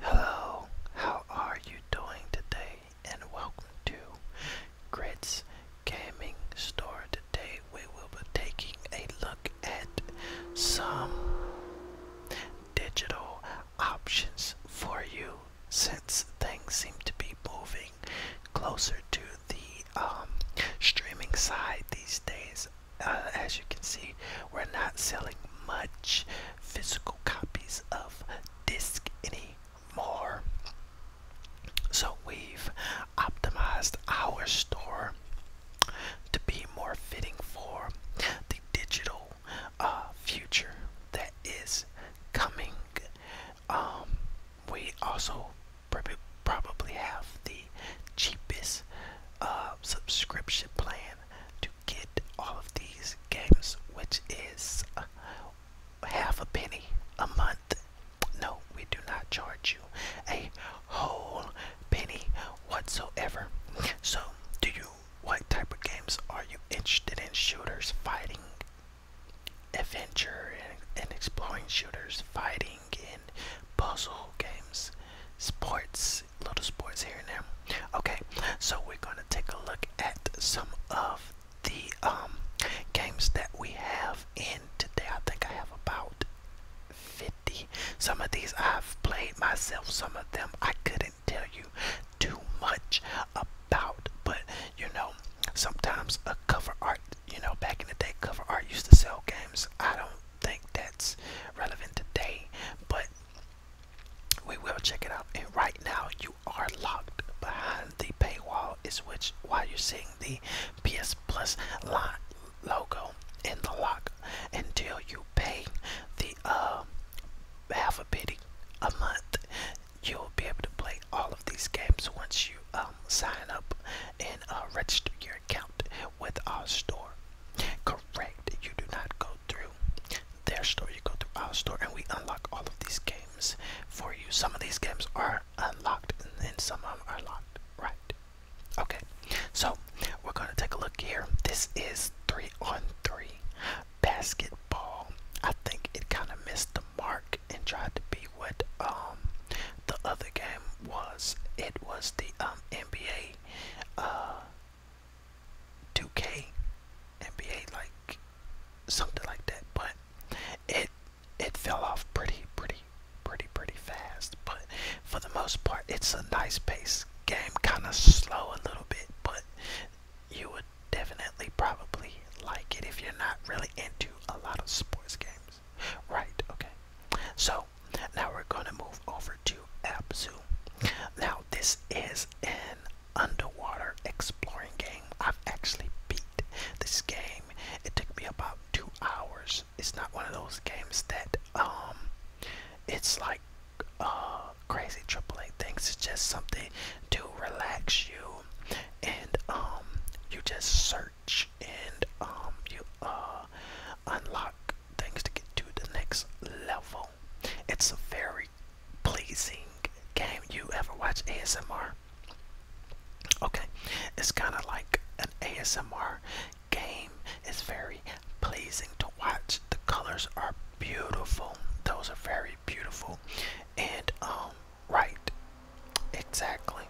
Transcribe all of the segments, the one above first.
Hello, how are you doing today? And welcome to Grits Gaming Store. Today we will be taking a look at some digital options for you since things seem to be moving closer to the um, streaming side these days. Uh, as you can see, we're not selling much physical copies of disk anymore. So we've optimized our store to be more fitting for the digital uh, future that is coming. Um, we also probably have the cheapest uh, subscription plan to get all of these games, which is half a penny a month. No, we do not charge you a whole penny whatsoever. So, do you? What type of games are you interested in? Shooters, fighting, adventure, and, and exploring shooters, fighting, and puzzle games, sports, sports, little sports here and there. Okay, so we're gonna take a look at some of the um, games that we have in today. I think I have about 50. Some of these I've played myself, some of them I couldn't tell you too much about, but you know, sometimes a cover art, you know, back in the day, cover art used to sell games. I don't think that's relevant today, but we will check it out. And right now, you are locked behind the paywall, is which why you're seeing the PS Plus logo in the lock until you pay the um, half a penny a month. You'll be able to play all of these games once you um, sign up and uh, register your account with our store. Correct, you do not go through their store, you go through our store, and we unlock all of these games for you. Some of these games are unlocked, and then some of them are locked, right? Okay, so we're gonna take a look here. This is three on three basketball. I think it kind of missed the mark and tried to be what um the other game was. It was the um NBA uh 2K, NBA, like something like that. But it it fell off pretty, pretty, pretty, pretty fast. But for the most part, it's a nice pace game, kind of slow a little bit, but you would definitely probably like it if you're not really into a lot of sports games. Right, okay. So now we're gonna move over to Abzu. Now this is an underwater exploring game. I've actually beat this game. It took me about two hours. It's not one of those games that um it's like uh crazy AAA things. It's just something to relax you and um you just search and um you uh unlock things to get to the next level. It's a very pleasing game. You ever watch ASMR? Okay, it's kind of like an ASMR game. It's very pleasing to watch. The colors are beautiful. Those are very beautiful. And um, right, exactly.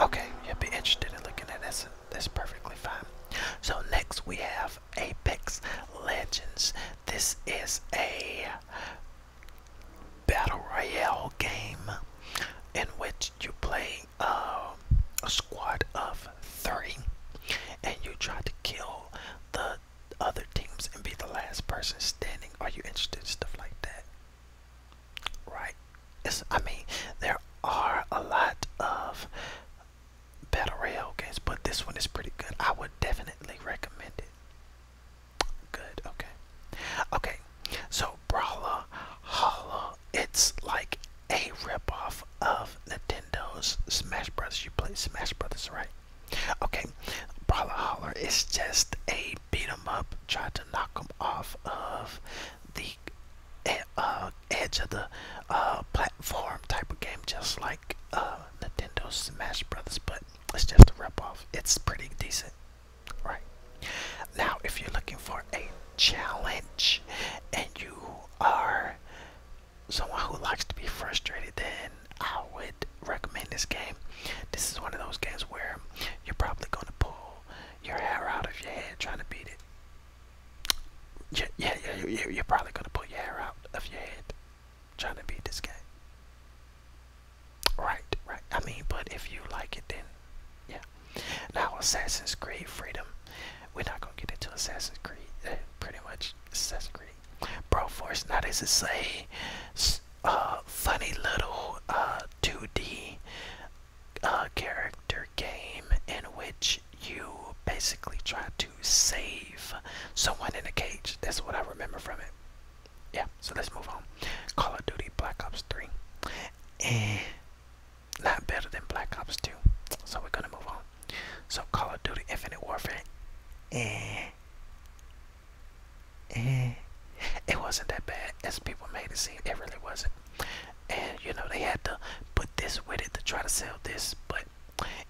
Okay, you would be interested in looking at this that's perfectly fine. So next we have Apex Legends. This is a battle royale game in which you play uh, a squad of three and you try to kill the other teams and be the last person standing. Are you interested in stuff like that? Right, I mean, there are a lot of battle royale games, but this one is pretty good. I would definitely recommend it. Good, okay. Okay, so Brawler Holla, it's like a ripoff of Nintendo's Smash Brothers. You play Smash Brothers, right? Okay, Brawler Holler is just a beat 'em up, try to knock 'em off of the uh, edge of the uh, platform type of game, just like uh, Nintendo's Smash Brothers, but it's just a ripoff. It's pretty decent, right? Now, if you're looking for a challenge and you are someone who likes to be frustrated, then I would recommend this game. This is one of those games where you're probably going to pull your hair out of your head trying to beat it yeah, yeah, yeah, you, are probably gonna pull your hair out of your head trying to beat this guy. Right, right. I mean, but if you like it, then yeah. Now, Assassin's Creed Freedom. We're not gonna get into Assassin's Creed. Uh, pretty much Assassin's Creed. Bro Force. Now this is a uh, funny little 2D uh, a character game in which you basically try to save someone in a cage. That's what I remember from it. Yeah, so let's move on. Call of Duty Black Ops 3. And eh, not better than Black Ops 2. So we're gonna move on. So Call of Duty Infinite Warfare. Eh. Eh. It wasn't that bad as people made it seem. It really wasn't and you know they had to put this with it to try to sell this but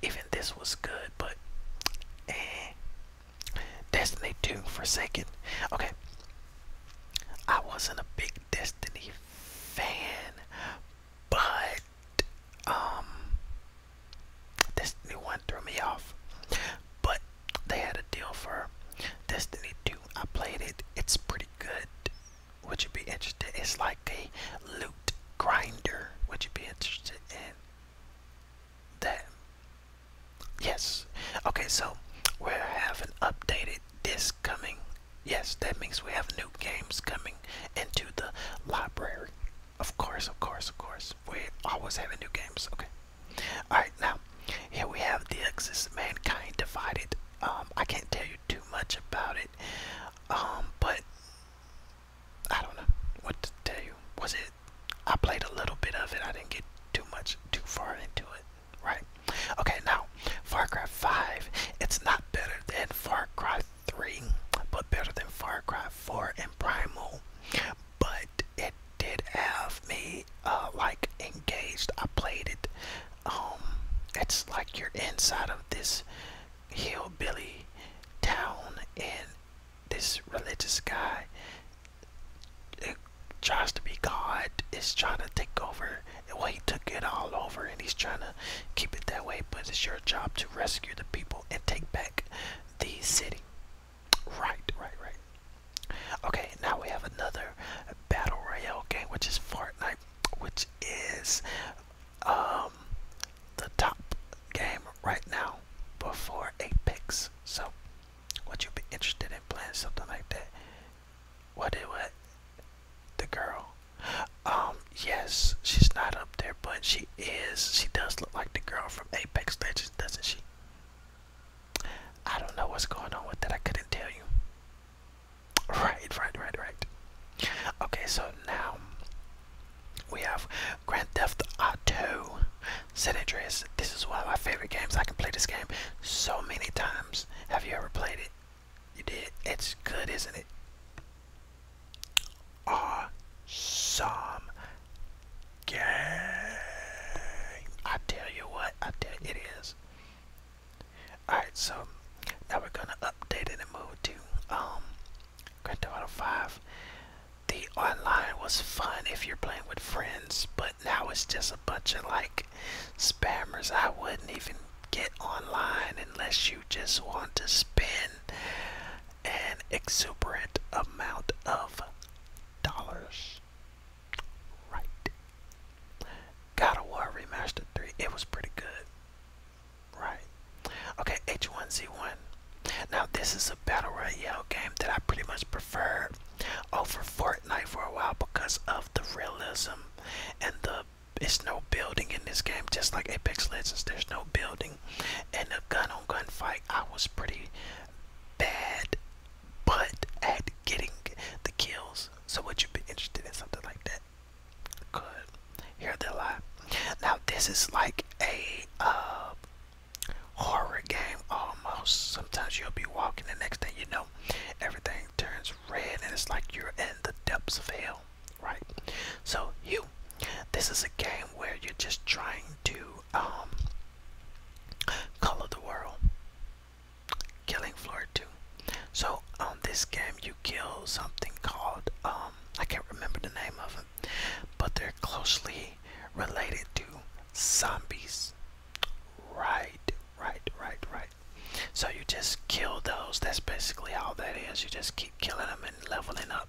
even this was good but eh, destiny 2 forsaken okay i wasn't a big destiny fan but um new 1 threw me off but they had a deal for destiny 2 i played it it's pretty pretty good. Would you be interested? It's like a loot grinder. Would you be interested in that? Yes. Okay, so we are having updated disc coming. Yes, that means we have new games coming into the library. Of course, of course, of course. We always having new games. Okay. Alright, now here we have the Axis Mankind Divided. Um, I can't tell you too much about it, um, but I don't know what to tell you. Was it? I played a little bit of it. I didn't get too much, too far into it, right? Okay, now Far Cry 5. It's not better than Far Cry 3, but better than Far Cry 4 and Primal. But it did have me uh, like engaged. I played it. Um, it's like you're inside of this hillbilly town, and this religious guy tries to be God. Is trying to take over. Well, he took it all over, and he's trying to keep it that way. But it's your job to rescue the people and take back the city. Right, right, right. Okay, now we have another battle royale game, which is Fortnite, which is um, the top game right now before Apex. So, would you be interested in playing something like that? What did what? The girl. Um, yes, she's not up there, but she is. She does look like the girl from Apex Legends, doesn't she? I don't know what's going on with that. I couldn't tell you. Right, right, right, right. Okay, so now we have Grand Theft Auto San Andreas. This is one of my favorite games. I can play this game so many times. Have you ever played it? You did. It's good, isn't it? Awesome game. I tell you what, I tell you, it is. Alright, so now we're gonna update it and move to um Grand Theft Auto 5. The online was fun if you're playing with friends, but now it's just a bunch of like spammers. I wouldn't even get online unless you just want to spend an exuberant amount of dollars. Right. God of War Remastered 3. It was pretty good. Right. Okay, H1Z1. Now, this is a battle royale game that I pretty much prefer over Fortnite for a while because of the realism and the. It's no building in this game, just like Apex Legends, there's no building. And the gun on gun fight, I was pretty bad but at getting the kills. So would you be interested in something like that? Good. Here they lie. Now this is like a uh, horror game almost. Sometimes you'll be walking, the next thing you know, everything turns red, and it's like you're in the depths of hell, right? So you, this is a game where you're just trying to um, Call the World, Killing Floor 2. So on um, this game, you kill something called um, I can't remember the name of them, but they're closely related to zombies. Right, right, right, right. So you just kill those. That's basically all that is. You just keep killing them and leveling up.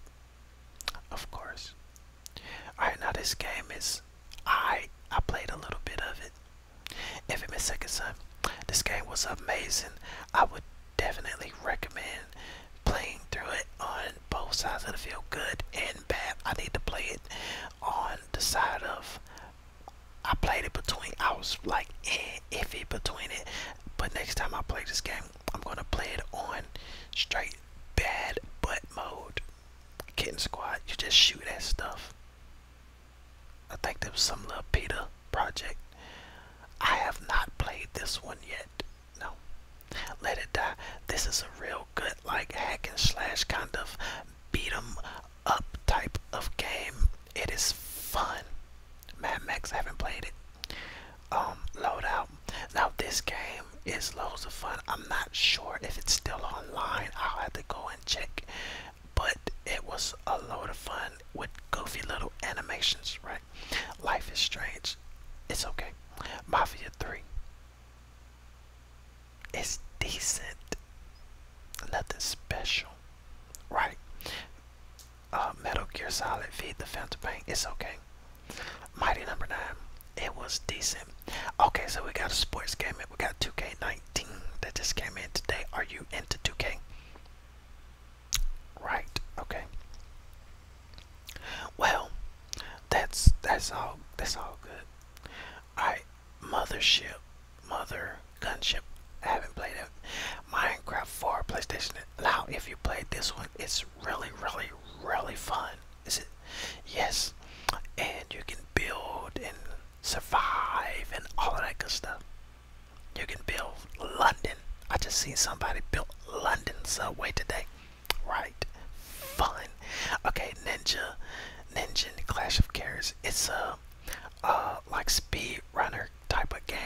Of course. Alright, now this game is I I played a little bit of it. Infamous Second Son. This game was amazing. I would definitely recommend playing through it on both sides of the field, good and bad. I need to play it on the side of I played it between I was like eh, iffy between it, but next time I play this game, I'm gonna play it on straight bad butt mode. Kitten Squad, you just shoot at stuff. I think there was some little Peter project. I have not played this one yet. No. Let it die. This is a real good like hack and slash kind of beat 'em up type of game. It is fun. Mad Max I haven't played it. Um, loadout. Now this game it's loads of fun. I'm not sure if it's still online. I'll have to go and check. But it was a load of fun with goofy little animations, right? Life is strange. It's okay. Mafia 3. It's decent. Nothing special, right? Uh, Metal Gear Solid V, The Phantom Pain. It's okay. Mighty number nine. It was decent. Okay, so we got a sports game. We got 2K19 that just came in today. Are you into 2K? Right. Okay. Well, that's that's all. That's all good. All right. Mothership, mother gunship. haven't played it. Minecraft 4 PlayStation. Now, if you played this one, it's really, really, really fun. Is it? Yes. And you can build and survive and all of that good stuff. You can build London. I just seen somebody build London subway today. Right. Fun. Okay, Ninja. Ninja Clash of Cares. It's a uh, like speed runner type of game.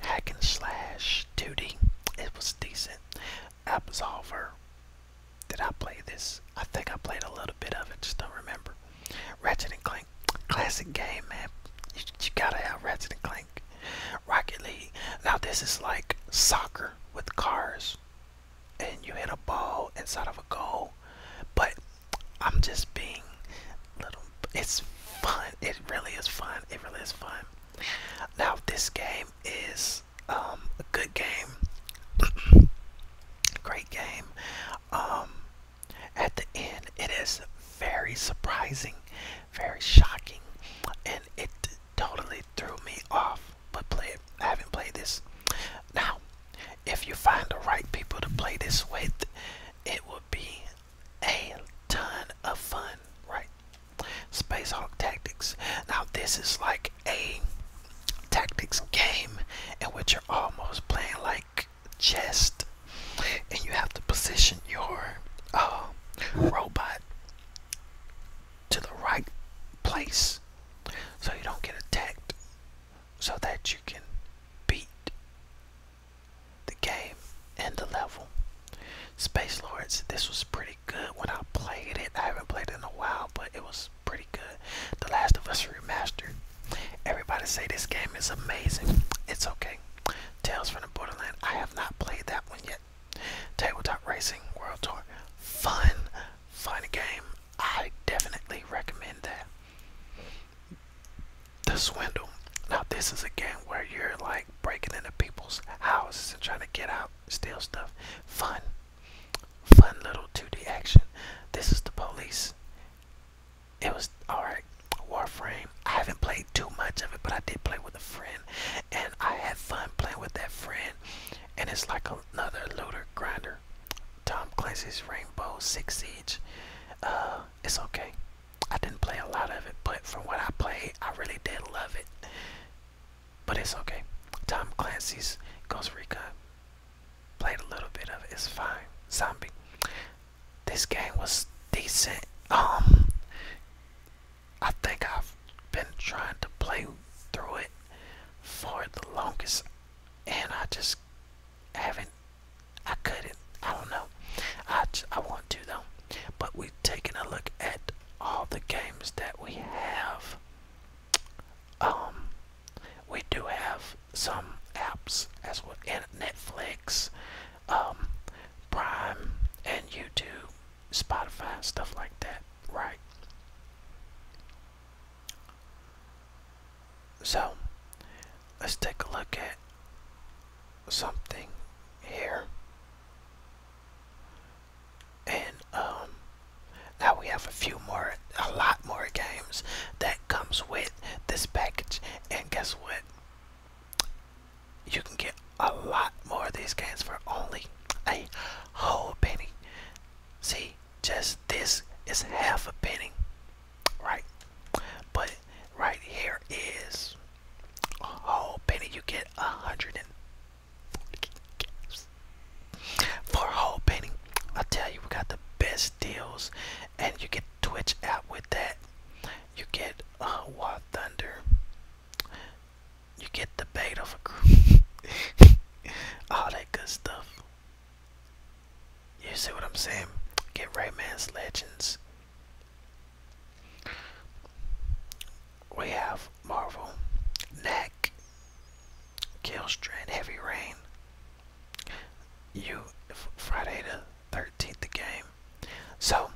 Hack and slash 2D. It was decent. Absolver. Did I play this? I think I played a little bit of it, just don't remember. Ratchet and Clank, classic game, man. You, gotta have Ratchet and Clank. Rocket League. Now this is like soccer with cars, and you hit a ball inside of a goal. But I'm just being little. It's fun. It really is fun. It really is fun. Now this game is um, a good game, great game. Um, at the end, it is very surprising, very shocking, and it totally threw me off. But play it. I haven't played this. Now, if you find the right people to play this with, it will be a ton of fun, right? Space Hawk Tactics. Now this is like a tactics game in which you're almost playing like chess, and you have to position your uh, robot to the right place so you don't get attacked, so that you can beat the game and the level. Space Lords, this was pretty good when I played it. I haven't played it in a while, but it was pretty good. The Last of Us Remastered. Everybody say this game is amazing. It's okay. Tales from the Borderland, I have not played that one yet. Tabletop Racing World Tour, fun, fun game. I definitely recommend that. The Swindle. Now this is a game where you're like breaking into people's houses and trying to get out, steal stuff. Fun, fun little 2D action. This is the police. It was alright. Warframe. I haven't played too much of it, but I did play with a friend, and I had fun playing with that friend. And it's like another looter grinder. Tom Clancy's Rainbow Six Siege. Uh, it's okay. I didn't play a lot of it, but for what I played, I really did love it. But it's okay. Tom Clancy's Ghost Recon. Played a little bit of it. It's fine. Zombie. This game was decent. Um I think I've been trying to play through it for the longest and I just haven't I couldn't. I don't know. I, I want to though. But we've taken a look at all the games that we have. Um, we do have some apps as well, Netflix, um, Prime, and YouTube, Spotify, stuff like that, right? So, let's take a look at something here. And um, now we have a few more, a lot more games that comes with this package. And guess what? You can get a lot more of these games for only a whole penny. See, just this is half a penny, right? But right here is a whole penny. You get a hundred and for whole penny. I tell you, we got the best deals, and you get Twitch out with that. You get uh, War Thunder. You get the bait of a group. all that good stuff. You see what I'm saying? Get Rayman's Legends. We have Marvel, Neck, Killstrand, Heavy Rain. You Friday the 13th the game. So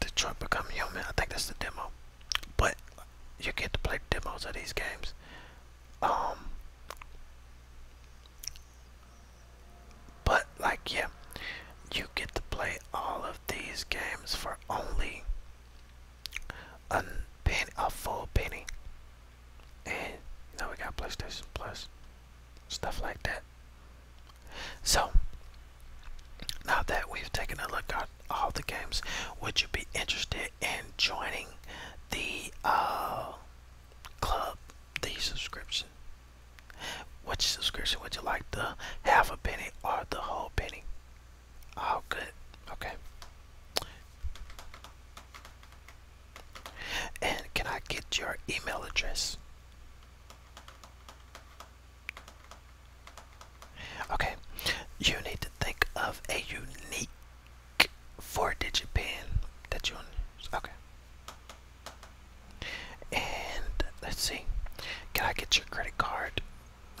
Detroit Become Human. I think that's the demo, but you get to play demos of these games. Um, but like yeah, you get to play all of these games for only a penny, a full penny. And now we got PlayStation Plus, stuff like that. So now that we've taken a look at all the games, would you be interested in joining the uh, club, the subscription? Which subscription would you like, the half a penny or the whole penny? Oh, good. Okay. And can I get your email address? Okay, you need to think of a unique four digit pin that you want Okay. And let's see. Can I get your credit card?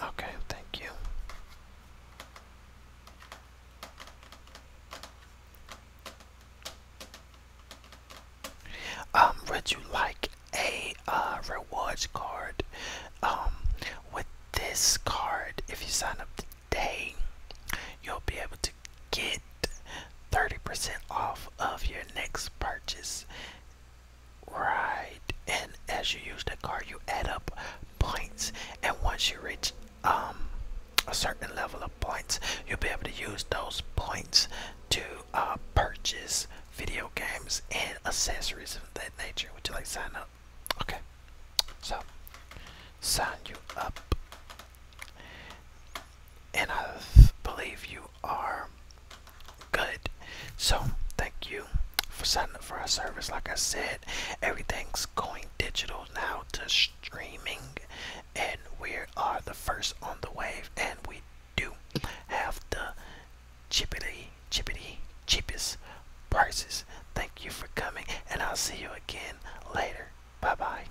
Okay, thank you. Um, would you like a uh, rewards card? Um, with this card, if you sign up today, you'll be able to get 30% off of your next purchase. Right, and as you use the card, you add up points, and once you reach um, a certain level of points, you'll be able to use those points to uh, purchase video games and accessories of that nature. Would you like to sign up? Okay, so sign you up and I believe you are good. So, thank you for signing up for our service. Like I said, everything's going digital now to streaming, and we are the first on the wave, and we do have the chippity, chippity, cheapest prices. Thank you for coming, and I'll see you again later. Bye bye.